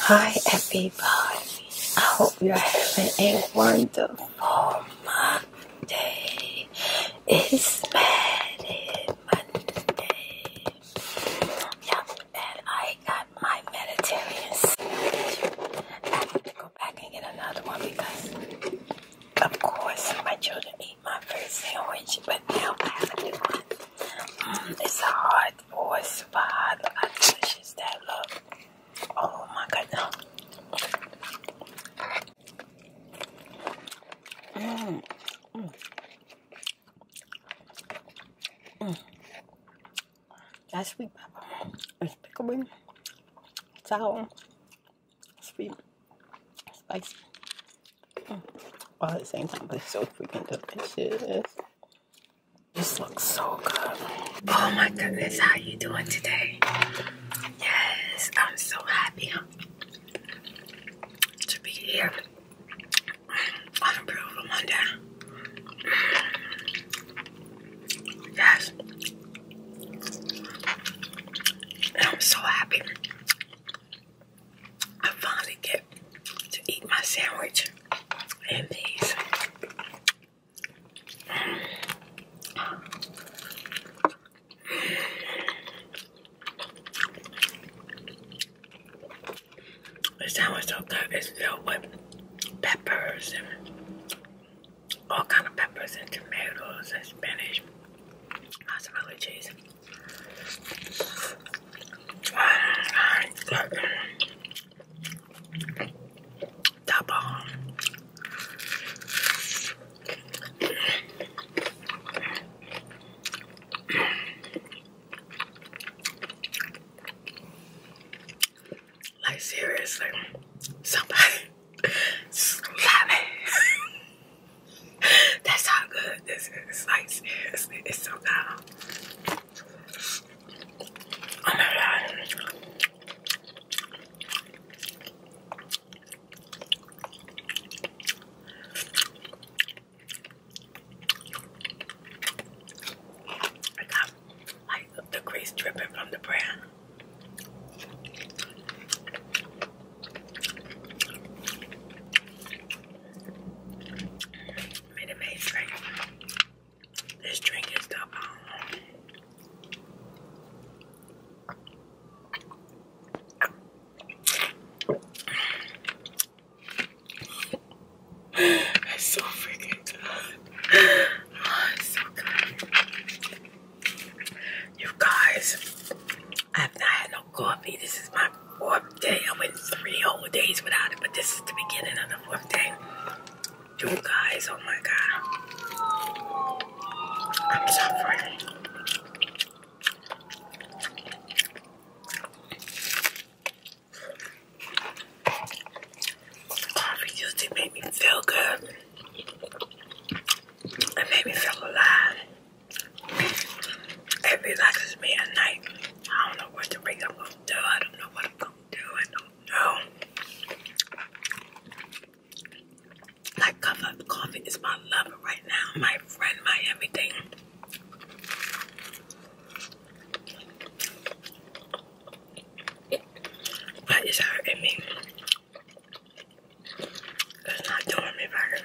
Hi everybody, I hope you're having a wonderful Monday. It's Monday. Yep, and I got my Mediterranean I have to go back and get another one because, of course, my children my first sandwich, but now I have a new one. Mm, it's a hard boiled spot. Look delicious that look. Oh my goodness. Mmm. Mm. Mm. mm. That sweet pepper is pickling, sour, sweet, spicy, mm. all at the same time. But it's so freaking delicious. This looks so good. Oh my goodness, how you doing today? Yes, I'm so happy to be here on Monday. Yes. I'm so happy I finally get to eat my sandwich and these. The sandwich so good. It's filled with peppers all kind of peppers and tomatoes and spinach, mozzarella cheese. Double. Like seriously, somebody Slimy. That's how good this is. it's so good. Oh my god. I got like the grease dripping from the bread. Made amazing drink. This drink is the bomb. Um, That's so freaking good. Oh, you guys, I have not had no coffee. This is my fourth day. I went three whole days without it, but this is the beginning of the fourth day. You guys, oh my god. I'm suffering. Coffee used to me feel good. It made me feel alive. It night. I don't know what to wake up do. I don't know what I'm gonna do. I don't know. Like coffee is my lover right now, my friend, my everything. That is hurting me. It's not doing me better.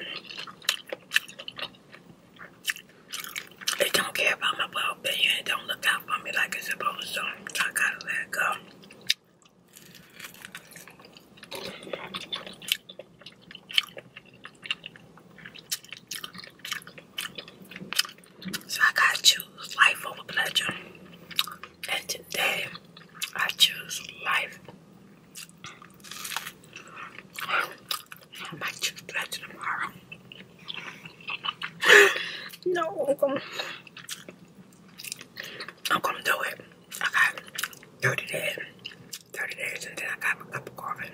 It don't care about my well being. It don't look out for me like I suppose. So I gotta let it go. So I gotta choose life over pleasure. And today I choose life. I choose pleasure tomorrow. No, I'm gonna, do it. I got 30 days. 30 days and then I got a cup of coffee.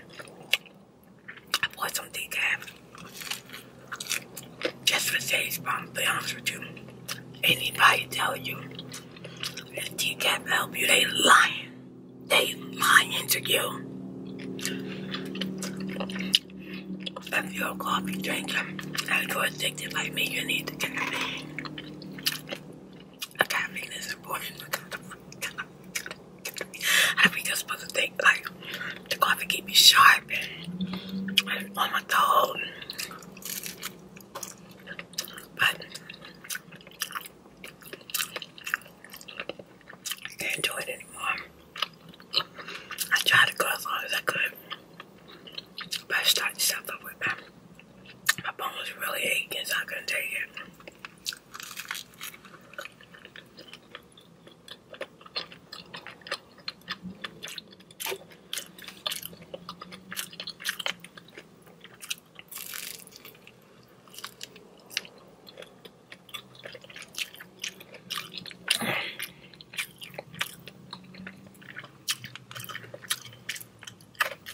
I bought some decaf just for taste, but to be honest with you. Anybody tell you that decaf help you, they lying. They lying to you. If you're a coffee drinker and you're addicted like me, you need the caffeine. caffeine is important because I think that's supposed to think like the coffee keep me sharp and, and on my toes. But I can't do it anymore. I tried to go as long as I could. But I started to up with my, my bones really aching It's not gonna take it. I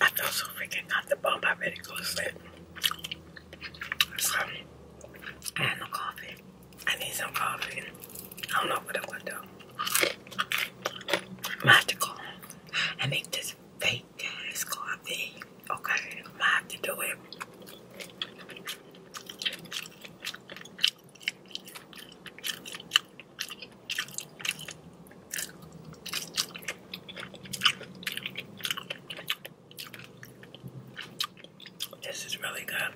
feel so freaking got the bump. I ready to go to so, I had no coffee. I need some coffee. I don't know what I'm gonna do. i have to call and make this fake ass coffee. Okay, i have to do it. This is really good.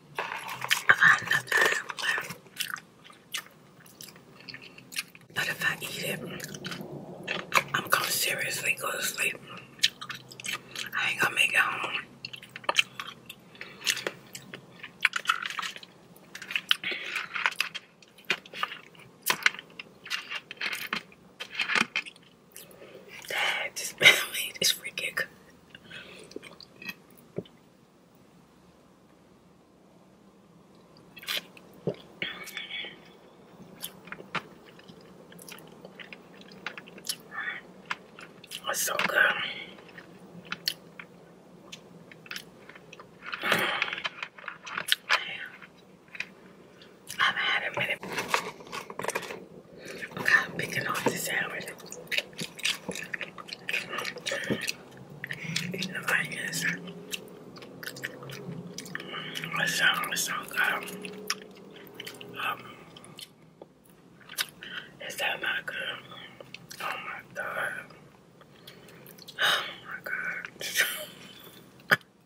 I But if I eat it, I'm gonna seriously go to sleep. I ain't gonna make it home. This just made freaking good. so good. I have had a minute. I'm picking on the sandwich. You know, I guess. It sounds so is that not good? Oh my god. Oh my god.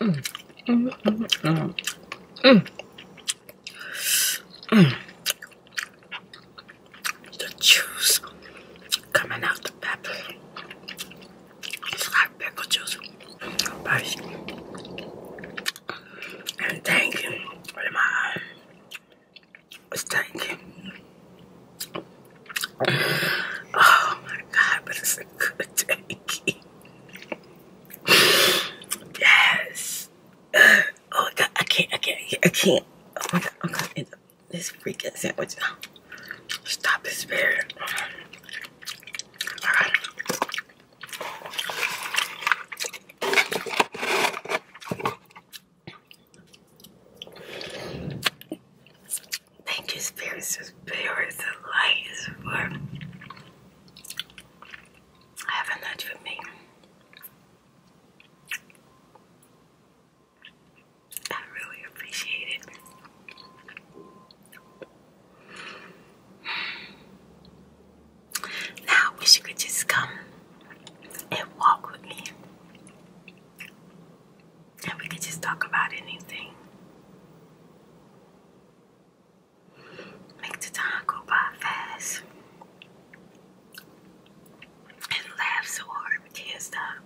Mm. Mm, mm, the juice coming out the pepper. It's like pickle juice. But and thank you. What am I? It's thank you. Oh my god, but it's a good tanky yes. Oh my god, I can't, I can't, I can't. Oh my god, i this freaking sandwich. Stop this spirit. Thank you, spirits and spirits light is for having lunch with me. I really appreciate it. Now I wish you could just come and walk with me and we could just talk about anything. Make the time go by fast and laugh so hard we can't stop.